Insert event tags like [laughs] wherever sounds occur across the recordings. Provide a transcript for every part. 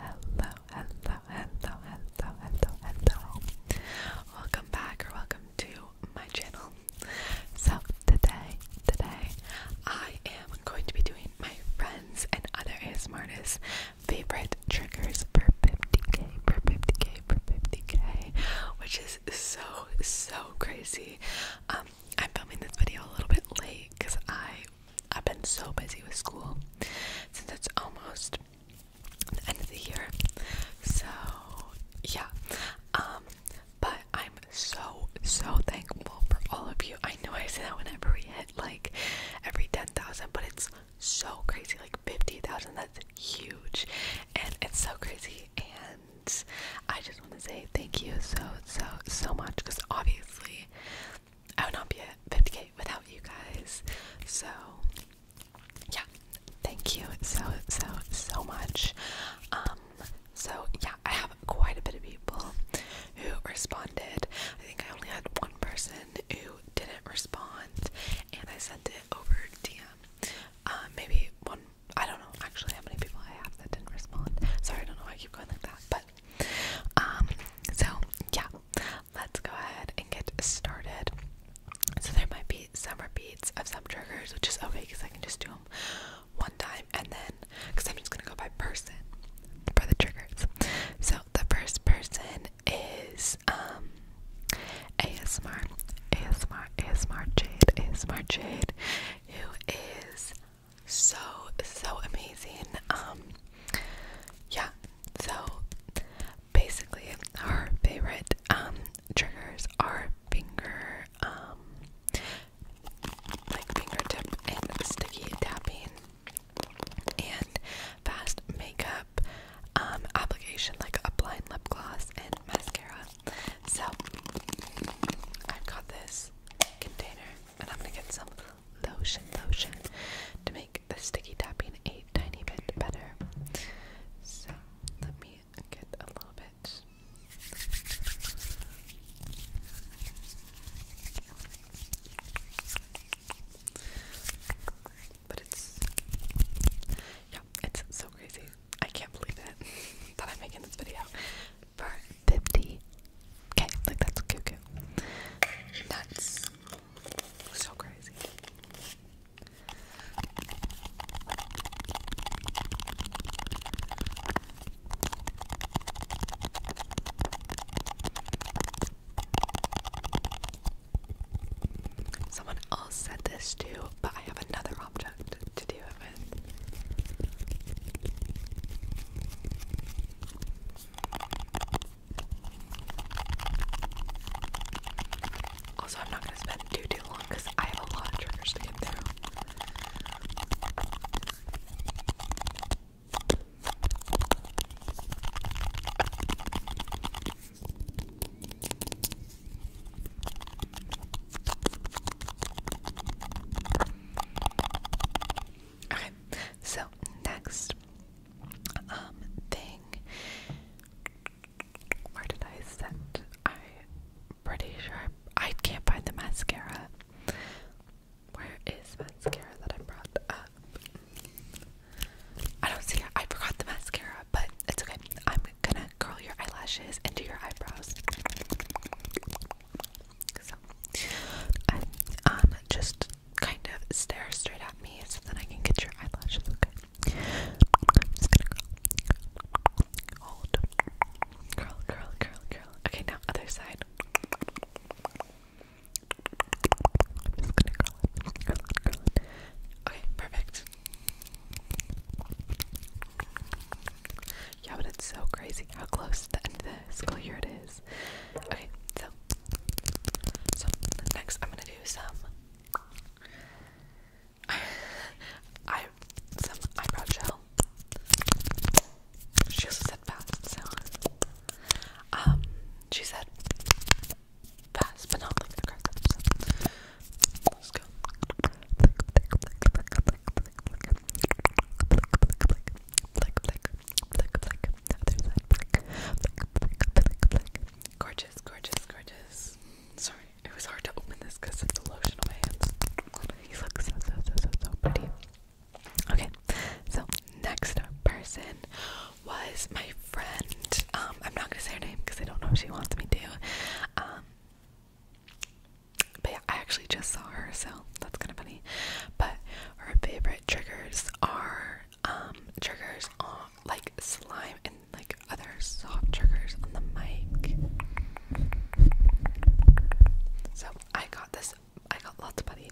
Hello, hello, hello, hello, hello, hello. Welcome back or welcome to my channel. So today, today, I am going to be doing my friends and other ASMRtists favorite triggers for 50k, for 50k, for 50k, which is so, so crazy. Um, I'm filming this video a little bit late because I I've been so busy with school since it's almost the end of the year. So, yeah. Um, but I'm so, so thankful for all of you. I know I say that whenever we hit like every 10,000, but it's so crazy like 50,000. That's huge. And it's so crazy. And I just want to say thank you so, so, so much because obviously I would not be a 50k without you guys. So, yeah, thank you so, so, so much. Um, so, yeah, I have quite a bit of people who responded. I think I only had one person who didn't respond, and I sent it over DM. Uh, maybe one, I don't know actually how many people I have that didn't respond. Sorry, I don't know why I keep going like that, but um, so yeah, let's go ahead and get started. So there might be some repeats of some triggers, which is okay because I can just do them one time and then because I'm just gonna go by person for the triggers. So the first person is um ASMR, ASMR, ASMR Jade, ASMR Jade, who is so so amazing. Um yeah, so basically our favorite um triggers are finger um like fingertip and sticky tapping and fast makeup um application like applying lip gloss and mascara. So I've got this container and I'm gonna get some lotion lotion to make the sticky tapping a tiny bit better. So let me get a little bit. But it's yeah, it's so crazy. I can't believe it [laughs] that I'm making this video for 50. Okay, like that's cuckoo. That's so crazy. Someone else said this too, but I have another object to do it with. Also, I'm not going to spend too, too long because I have a lot of triggers to get through. Okay, so next um, thing where did I set? I pretty sure I can't find the mascara. Where is mascara that I brought up? I don't see it. I forgot the mascara, but it's okay. I'm gonna curl your eyelashes into your eyebrows. So, um, just kind of stare straight at me so that I can get your eyelashes, okay? I'm just gonna Okay, now other side. Okay, perfect. Yeah, but it's so crazy how close to the end of the school year it is. Okay, so so next I'm gonna do some I some eyebrow gel. She also said fast, so um she said fast but not like aggressive, so let's go. Gorgeous, gorgeous, gorgeous. Sorry, it was hard to open this because of the lotion on my hands. You look so, so, so, so, so pretty. Okay, so next person was my friend. Um, I'm not gonna say her name because I don't know if she wants me to. Um, but yeah, I actually just saw her, so that's kind of funny. But her favorite triggers are um triggers on like slime and like other soft triggers on the mic. So I got this. I got lots of buddy.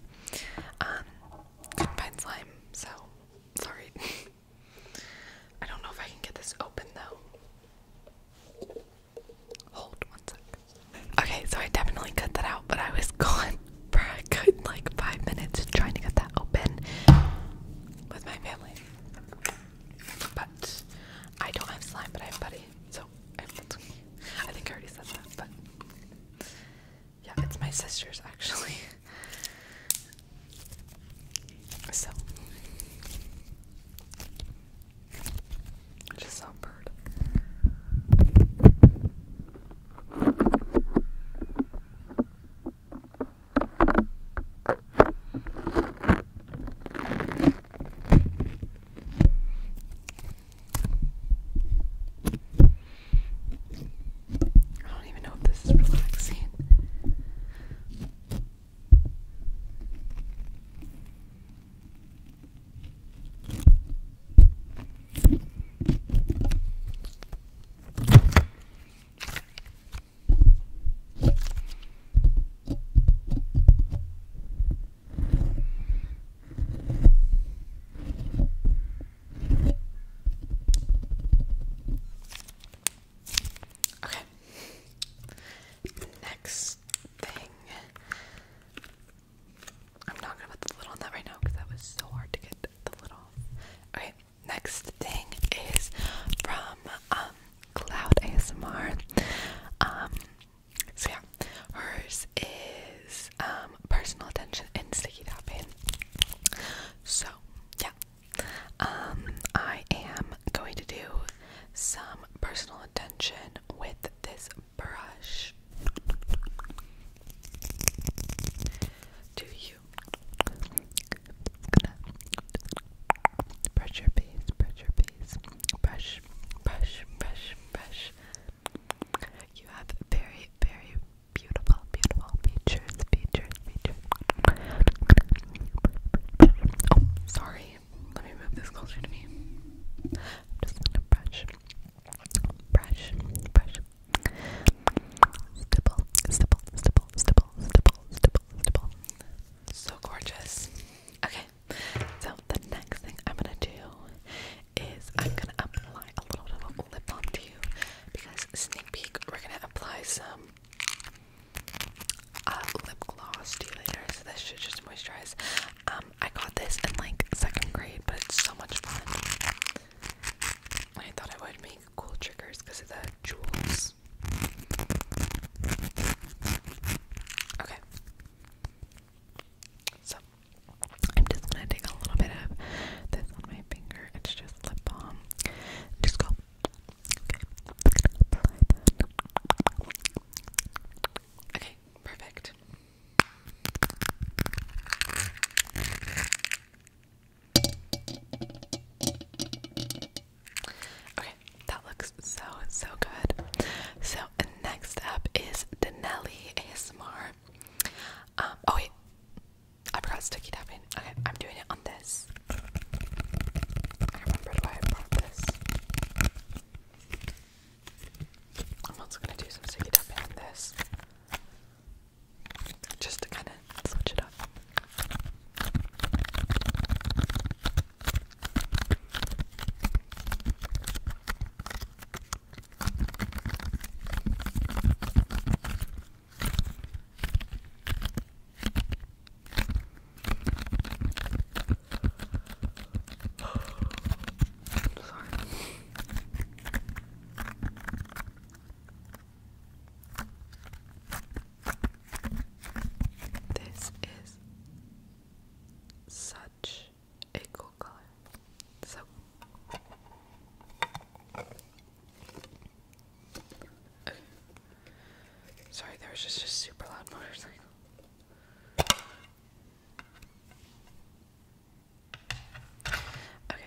Um, could slime, so sorry. [laughs] I don't know if I can get this open though. Hold one sec. Okay, so I definitely cut that out, but I was [laughs] going for like five minutes trying to get that open with my family. But I don't have slime, but I have putty, so I, I think I already said that, but yeah, it's my sister's actually. [laughs] So I just saw a bird. I don't even know if this is relaxing. Okay. Next thing I'm not gonna put the lid on that right now because that was so hard to get the lid off. Okay, next thing is from um, Cloud ASMR. Um, so yeah, hers is um, personal attention and sticky tapping. So yeah. I am going to do some personal attention with this brush. Do you? I'm gonna brush your face, brush your face, brush, brush, brush, brush. You have very, very beautiful, beautiful features, features, features. Oh, sorry. Let me move this closer to me. I'm just gonna brush, brush, brush, stipple, stipple, stipple, stipple, stipple, stipple, So gorgeous. Okay, so the next thing I'm gonna do is I'm gonna apply a little bit of lip balm to you because sneak peek, we're gonna apply some uh, lip gloss to you later. So this should just moisturize. Um, I got this in like second grade, but it's so much fun. I thought I would make cool triggers because of the jewels. Okay. So I'm just gonna take a little bit of this on my finger. It's just lip balm. Just go. Okay. perfect. Okay, that looks so so good. So next up is Denelli ASMR. Um, oh wait, I forgot sticky tapping. Okay, I'm doing it on this. I remembered why I brought this. I'm also gonna do some sticky tapping on this just to kind of switch it up. Sorry. This is such a cool color. So Sorry, there was just a super loud motorcycle. Okay.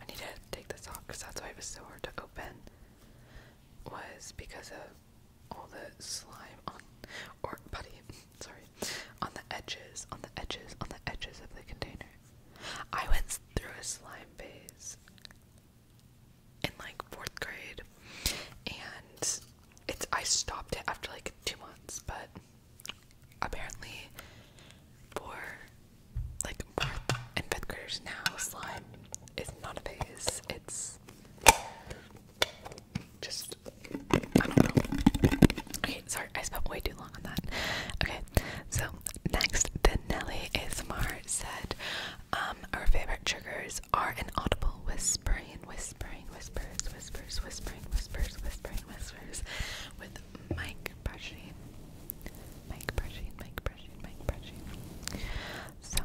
I need to take this off because that's why it was so hard to open. Was because of all the slime on, or putty, [laughs] sorry, on the edges, on the edges, on the edges of the container. I went through a slime phase in like fourth grade and it's I stopped it after like two months, but apparently for like fourth and fifth graders now, slime is not a phase. It's just I don't know. Okay, sorry, I spent way too long on that. Okay, so next, the Nelly is Mar said, um, um, our favorite triggers are an audible whispering, whispering, whispers, whispers, whispering, whispers, whispering, whispers, with mic brushing, mic brushing, mic brushing, mic brushing. So.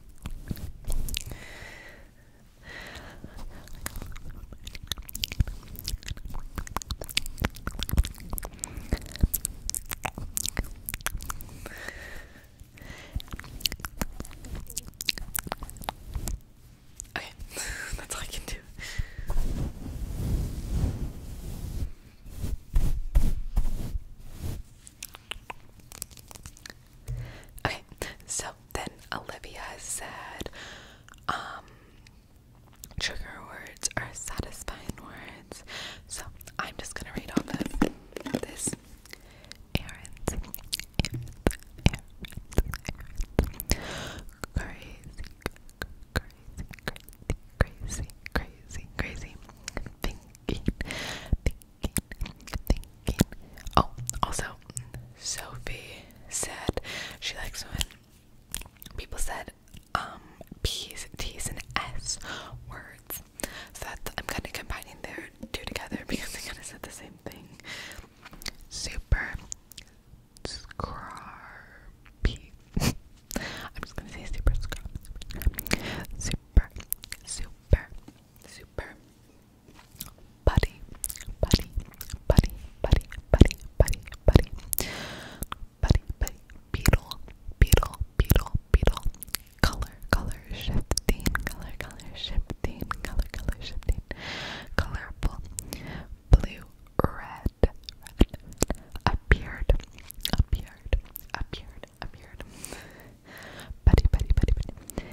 Okay, [laughs] that's all I can do. Okay, so then Olivia said, trigger words are satisfying words. So I'm just gonna read off of this. Errands, errands, errands, errands. Crazy, crazy, crazy, crazy, crazy, crazy. Thinking, thinking, Oh, also, Sophie said she likes when people said um P's, T's, and S words. So that's, I'm kind of combining their two together [laughs] because they kind of said the same thing. Super scrappy. [laughs] I'm just gonna say super scrappy. Super, super, super, super buddy, buddy, buddy, buddy, buddy, buddy, buddy, buddy, buddy, beetle, beetle, beetle, beetle, color, color shifting, color, color shifting, color, color shifting, colorful, blue, red, red, appeared, appeared, appeared, appeared. Betty, Betty, Betty, Betty.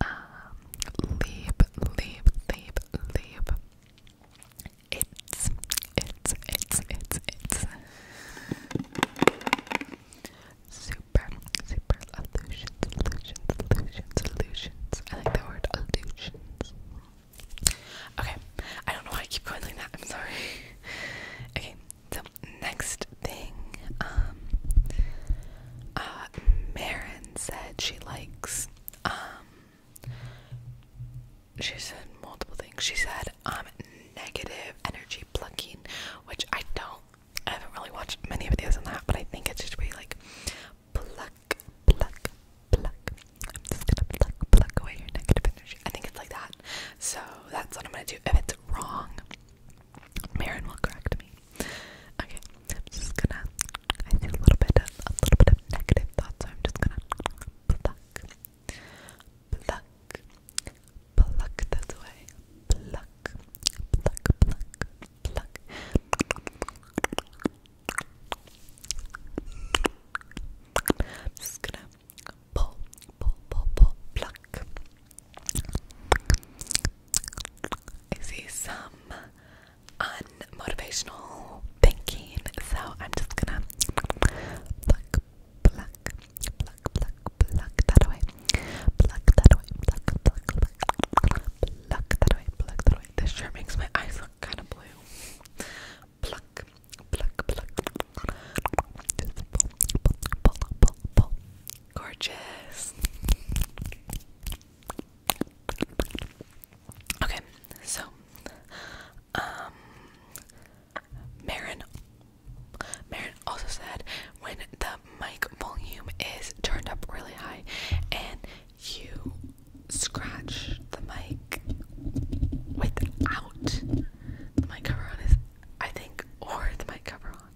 Um, leave, leave, leave, leave. It's, it's, it's, it's, it's. Super, super illusions, illusions, illusions, illusions. I like the word illusions. Okay, I don't know why I keep going like that. I'm sorry. [laughs] okay, so next thing, um, uh, Marin said she likes, um, she said multiple things. She said, um, negative energy plucking, which I don't, I haven't really watched many videos on that, but I think it should be like pluck, pluck, pluck. I'm just gonna pluck, pluck away your negative energy. I think it's like that. So that's what I'm gonna do. If it's wrong, Marin will correct me. Okay, just gonna. I see a little bit of a little bit of negative thoughts, I'm just gonna pluck, pluck, pluck that away. Pluck, pluck, pluck, pluck. just gonna pull, pull, pull, pluck. I see some unmotivational thinking, so I'm just gonna pluck, pluck, pluck, pluck, pluck that away, pluck that away, pluck, pluck, pluck, pluck that away, pluck that away. This sure makes my eyes look kind of blue. Pluck, pluck, pluck. Gorgeous. Okay, so um Marin Marin also said when the mic volume is turned up really high and you scratch the mic without the mic cover on I think, or the mic cover on.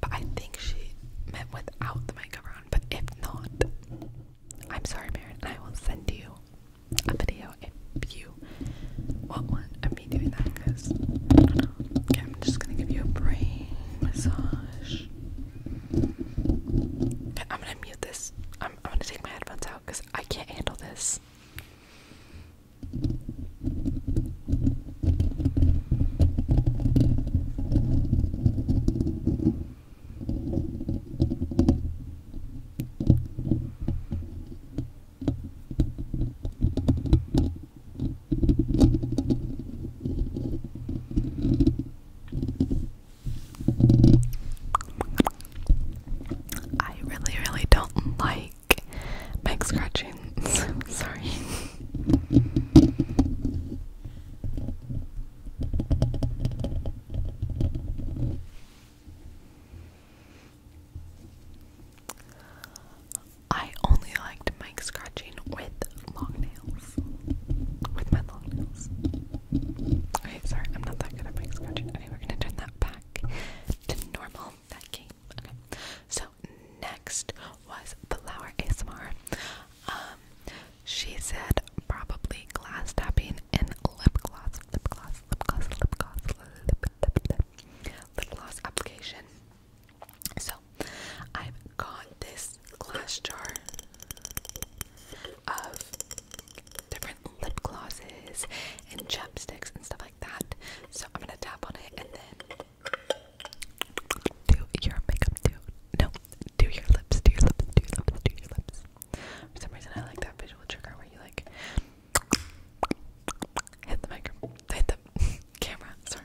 But I think she meant without the mic cover on. But if not, I'm sorry, Marin. I will send you a video if you want one of me doing that. Because I Okay, I'm just gonna give you a brain massage. Okay, I'm gonna mute this. I'm gonna take my headphones out because I can't handle this. I really, really don't like like make [laughs] Sorry. I only like to scratching with long nails. With my long nails. Okay, sorry, I'm not that good at making scratching. Anyway, we're gonna turn that back to normal. Okay. So next was the Flower ASMR. Um, she said probably glass tapping and lip gloss, lip gloss, lip gloss, lip gloss, lip lip gloss application. So I've got this glass jar of different lip glosses and chapsticks and stuff like that. So I'm gonna tap on it and then do your makeup No, do your lips, do your lips, do your lips, do your lips. For some reason I like that visual trigger where you like hit the hit the [laughs] camera, sorry.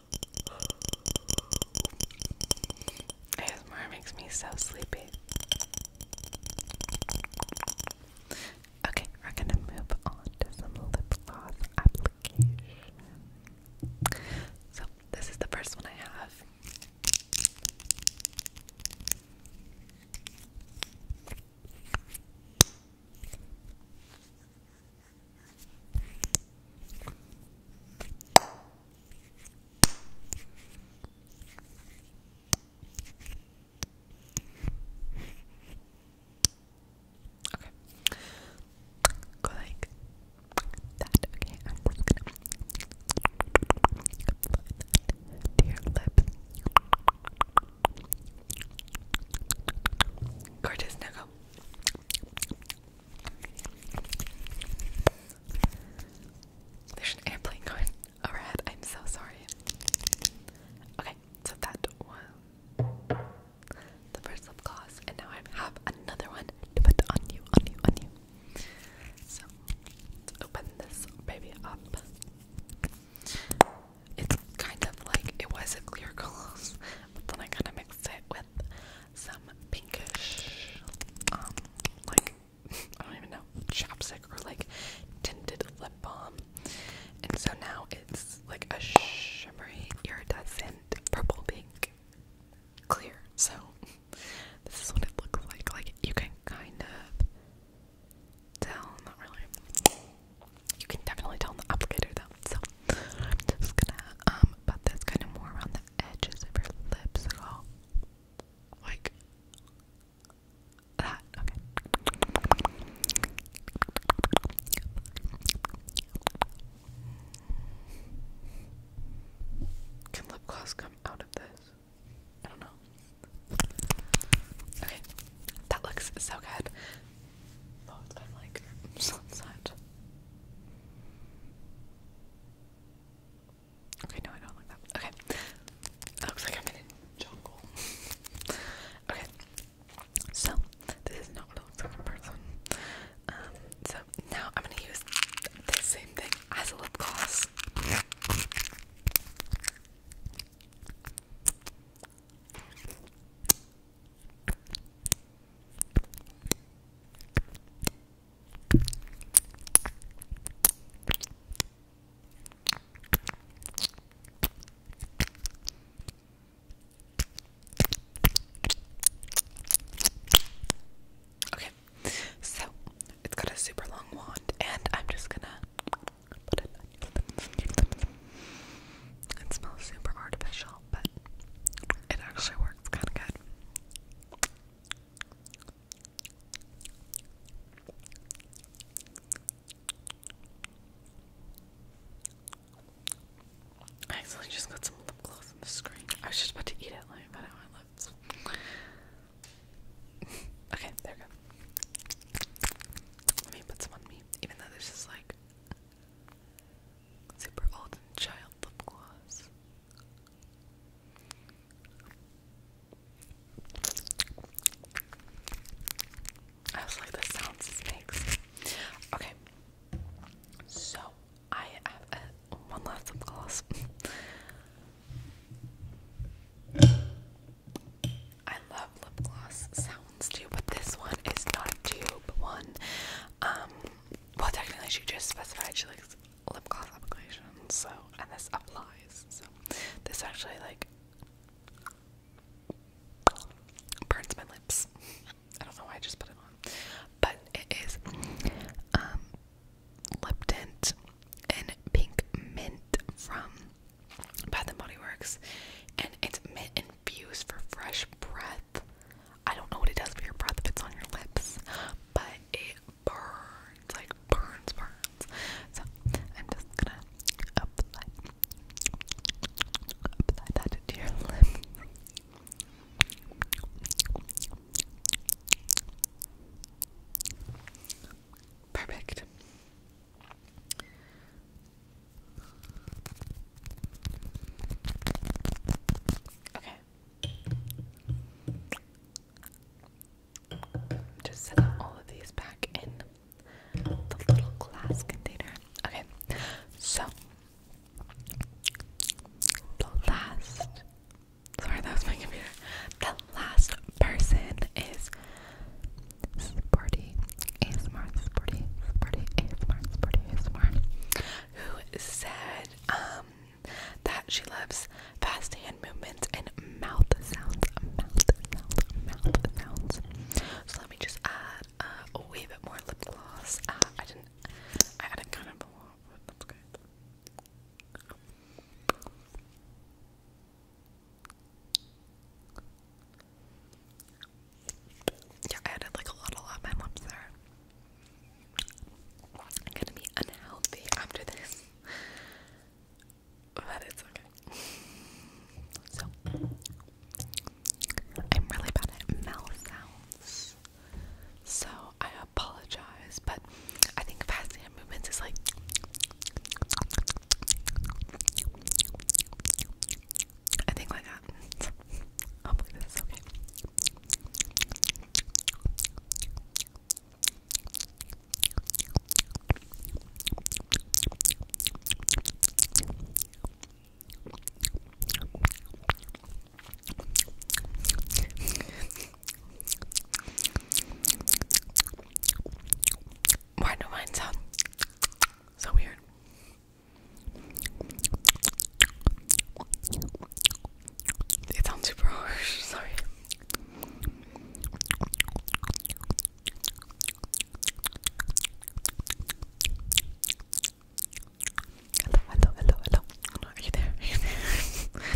ASMR makes me so sleepy. Okay, we're gonna move on to some lip gloss application. So, this is the first one I have. Okay. Go like that. Okay, I'm just gonna apply that Gorgeous, now there's an airplane going overhead. I'm so sorry. Okay, so that was the first lip gloss, and now I have another one to put on you, on you, on you. So let's open this baby up it's kind of like it was a clear gloss, but then I kind of mixed it with some pinkish, um, like [laughs] I don't even know, chopstick or like tinted lip balm, and so now it's like a shimmery, iridescent purple pink clear. So [laughs] this is what it looks like. Like you can kind of tell, not really you can definitely tell on the applicator though. So I'm just gonna um but that's kind of more around the edges of your lips at all. Like that. Okay. Can lip gloss come out of this? I don't know. Okay. That looks so good. Oh, it's kind of like [laughs] sunset. Okay, no, I don't like that. Okay. looks like I'm in jungle. [laughs] okay. So, this is not what it looks like in Um, so now I'm gonna use the same thing as a lip gloss. Okay, so it's got a super long wand, and I'm just gonna put it on your lip. It smells super artificial but it actually works kind of good. I actually just got some lip gloss on the screen. I was just about to eat it, let me put on my lips. [laughs] okay, there we go. Let me put some on me, even though this is like Super Old and Child Lip Gloss. I was like, the sounds this makes. Okay, so I have one last lip gloss. [laughs] I love lip gloss ones but this one is not a tube one. Um, well, technically, she just specified she likes lip gloss applications, so and this applies. So this actually like burns my lips. I don't know why I just put it on, but it is um lip tint in pink mint from Bath and Body Works, and it's mint infused for fresh breath. I don't know what it does for your breath if it's on your lips, but it burns, like burns, burns. So I'm just gonna apply that to your lips. Perfect. Okay. Just set all of these back in the little glass container. Okay, so the last sorry that was my computer. The last person is party sporty ASMR sporty sporty ASMR sporty ASMR who said um, that she loves fast hand movements and mouth sounds mouth mouth mouth sounds. So let me just add a wee bit more lip gloss. Ah, I didn't I added kind of a lot, but that's good. Yeah, I added like a lot, a lot. there. am gonna be unhealthy after this, but it's okay. So, I'm really bad at mouth sounds, so I apologize. But I think fast hand movements is like I think like that. I'll play okay. Why do mine sound so weird? It sounds super harsh, [laughs] sorry. Hello, hello, hello, hello. Are you there? [laughs]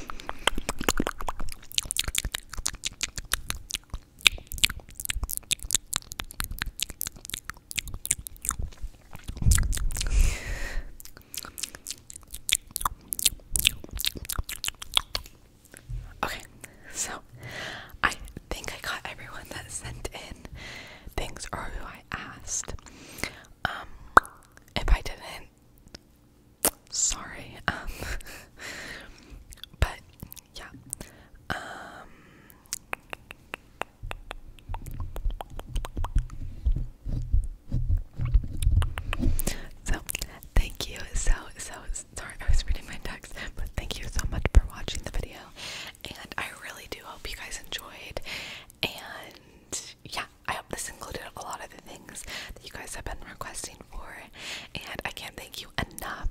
Okay, so I think I got everyone that sent in things or who I asked. Um, if I didn't, sorry. Um, [laughs] but yeah, um, so, thank you so, so, sorry I was reading my text, but thank you so much for watching the video, and I really do hope you guys enjoyed, and yeah, I hope this included a lot of the things that you guys have been requesting for, and I can't thank you enough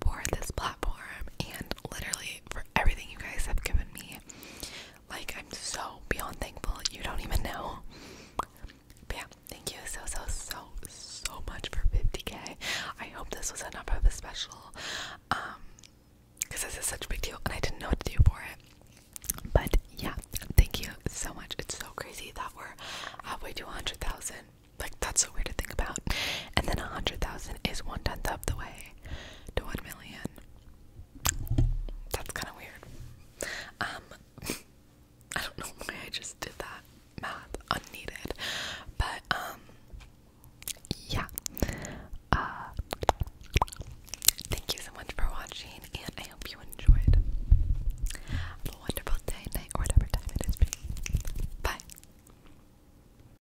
for this platform and literally for everything you guys have given me. Like, I'm so beyond thankful. You don't even know. yeah, thank you so, so, so, so much for 50k. I hope this was enough of a special. Um, because this is such a big deal and I didn't know what to do for it. But yeah, thank you so much. It's so crazy that we're halfway to 100,000. Like, that's so weird to think about. And then 100,000 is one tenth of the way to 1 million. That's kind of weird. Um, [laughs] I don't know why I just did that math unneeded, but um, yeah. Uh, thank you so much for watching, and I hope you enjoyed. Have a wonderful day, night, or whatever time it is Bye.